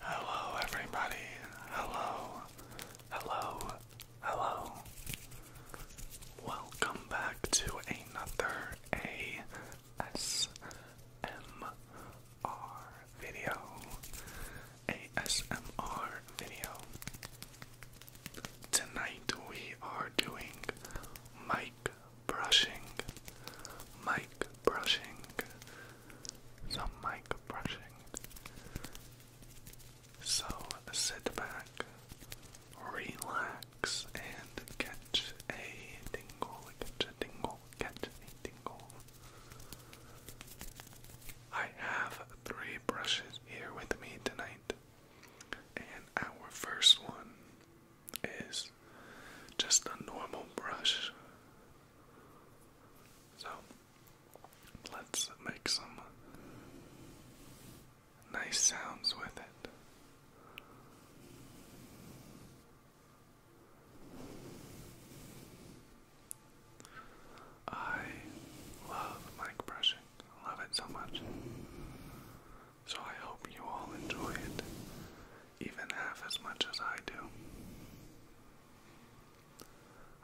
Hello, everybody. Hello, hello, hello. Welcome back to another ASMR video. ASMR video. Tonight we are doing Mike brushing, mic brushing, some mic brushing. So sit back, relax, and catch a tingle, catch a tingle, catch a tingle. I have three brushes here with me tonight, and our first one is just a normal brush. So let's make some nice sounds with it. I love mic brushing. love it so much. So I hope you all enjoy it, even half as much as I do.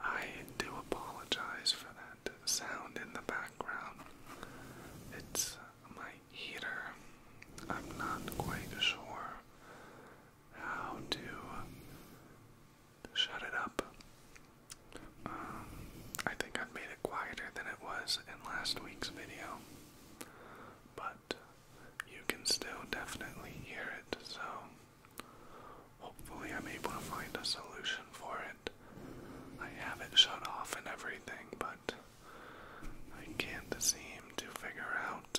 I do apologize for that sound in the background. It's my heater. I'm not quite sure how to shut it up. I think I've made it quieter than it was in last week's video, but you can still definitely hear it, so hopefully I'm able to find a solution for it. I have it shut off and everything, but I can't seem to figure out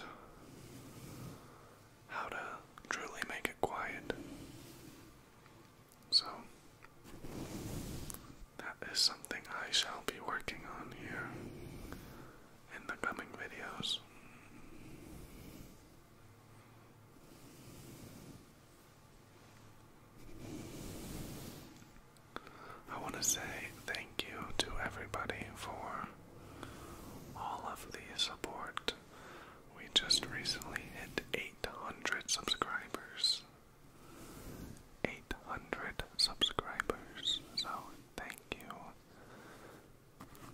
how to truly make it quiet. So, that is something I shall be working on here in the coming videos. I want to say thank you to everybody for all of the support. We just recently hit 800 subscribers, 800 subscribers. So, thank you.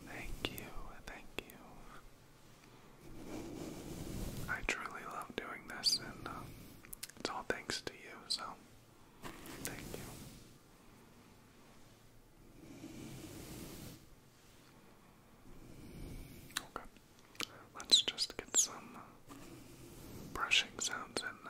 Thank you. Thank you. I truly love doing this, and uh, it's all thanks to you, so thank you. Okay. Let's just get some uh, brushing sounds in now.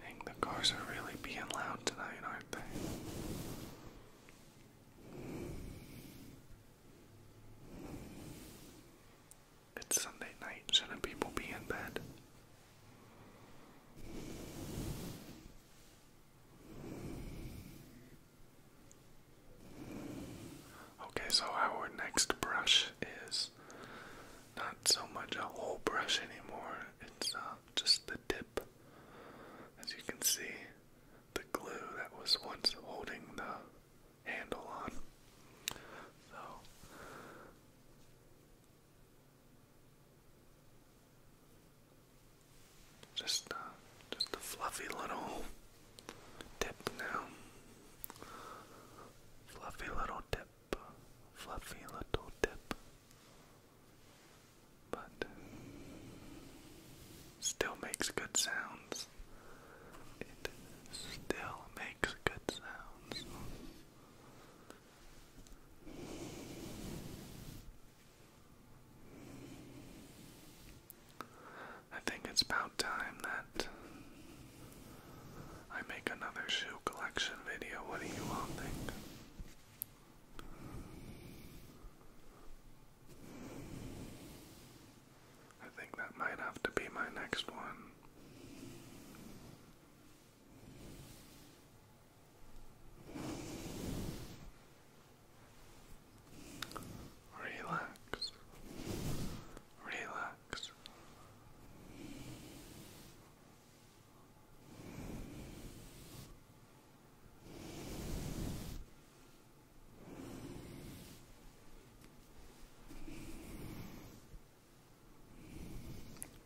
Dang, the cars are really being loud tonight, aren't they? It's Sunday night, shouldn't people be in bed? Okay, so our next brush is not so much a whole brush anymore, it's uh, just the tip. As you can see, the glue that was once holding the handle on. So, just, uh, just a fluffy little tip now. Fluffy little tip fluffy little tip, but still makes good sounds. It still makes good sounds. I think it's about time that I make another shoe collection video. What do you all think? I think that might have to be my next one. Relax. Relax.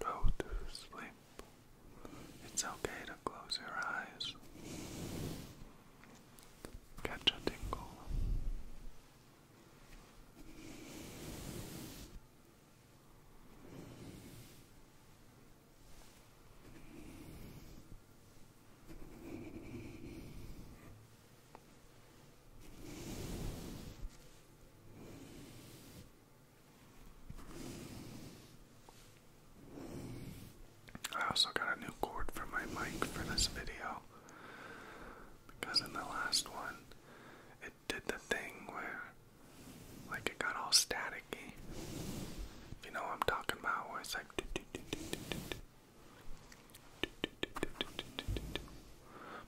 Go to sleep. It's okay to close your eyes. Catch a tingle. I also got a new cord for my mic for this video. Because in the last one, it did the thing where, like, it got all staticky. You know what I'm talking about? Where it's like.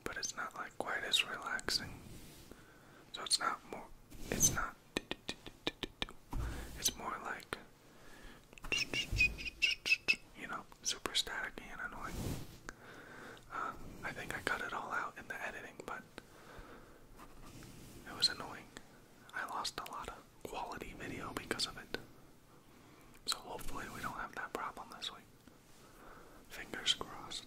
But it's not like quite as relaxing. So it's not more. It's not. It's more like. You know? super staticky and annoying. Uh, I think I cut it all out in the editing, but it was annoying. I lost a lot of quality video because of it. So hopefully we don't have that problem this week. Fingers crossed.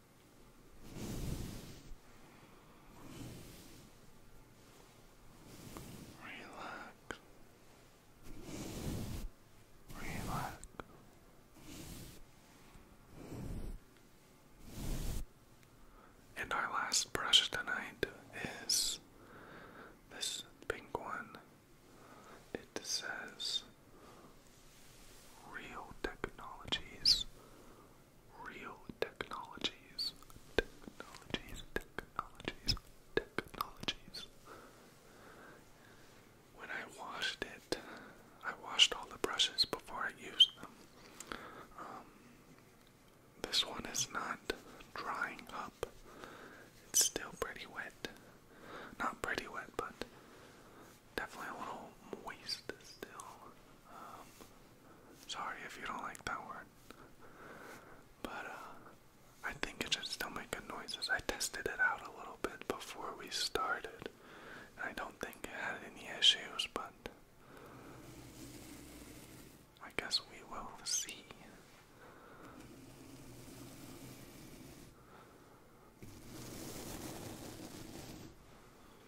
Relax. Relax. And our last brush tonight is this pink one. It says Real Technologies real technologies, technologies, technologies, technologies. When I washed it, I washed all the brushes before I used them. Um, this one is not drying up. It's still pretty wet. Not pretty wet, but definitely a little moist still. Um, sorry if you don't like that word. But uh, I think it should still make good noises. I tested it out a little bit before we started. And I don't think it had any issues, but I guess we will see.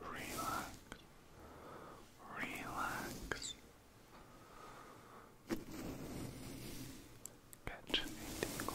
Relax, relax. Catch a tingle.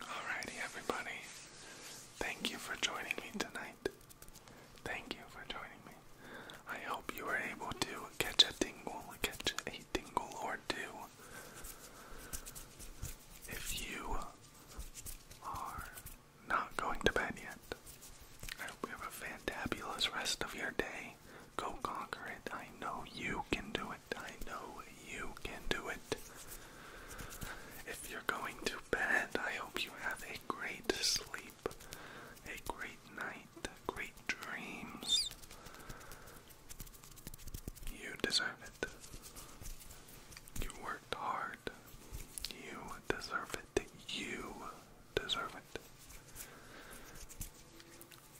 Alrighty, everybody. Thank you for joining me tonight. Thank you for joining me. I hope you were able to catch a tingle, catch a tingle or two. If you are not going to bed yet, I hope you have a fantabulous rest of your day. Go conquer it. I know you can do it. I know you can do it. If you're going to bed, I hope you have a great sleep, a great night, great dreams. You deserve it. You worked hard. You deserve it. You deserve it.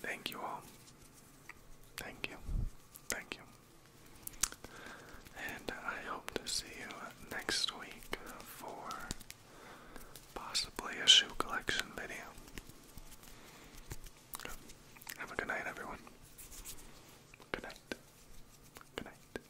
Thank you all. Thank you. Thank you. And I hope to see you next week for possibly a shoe collection video. Have a good night, everyone. Good night. Good night.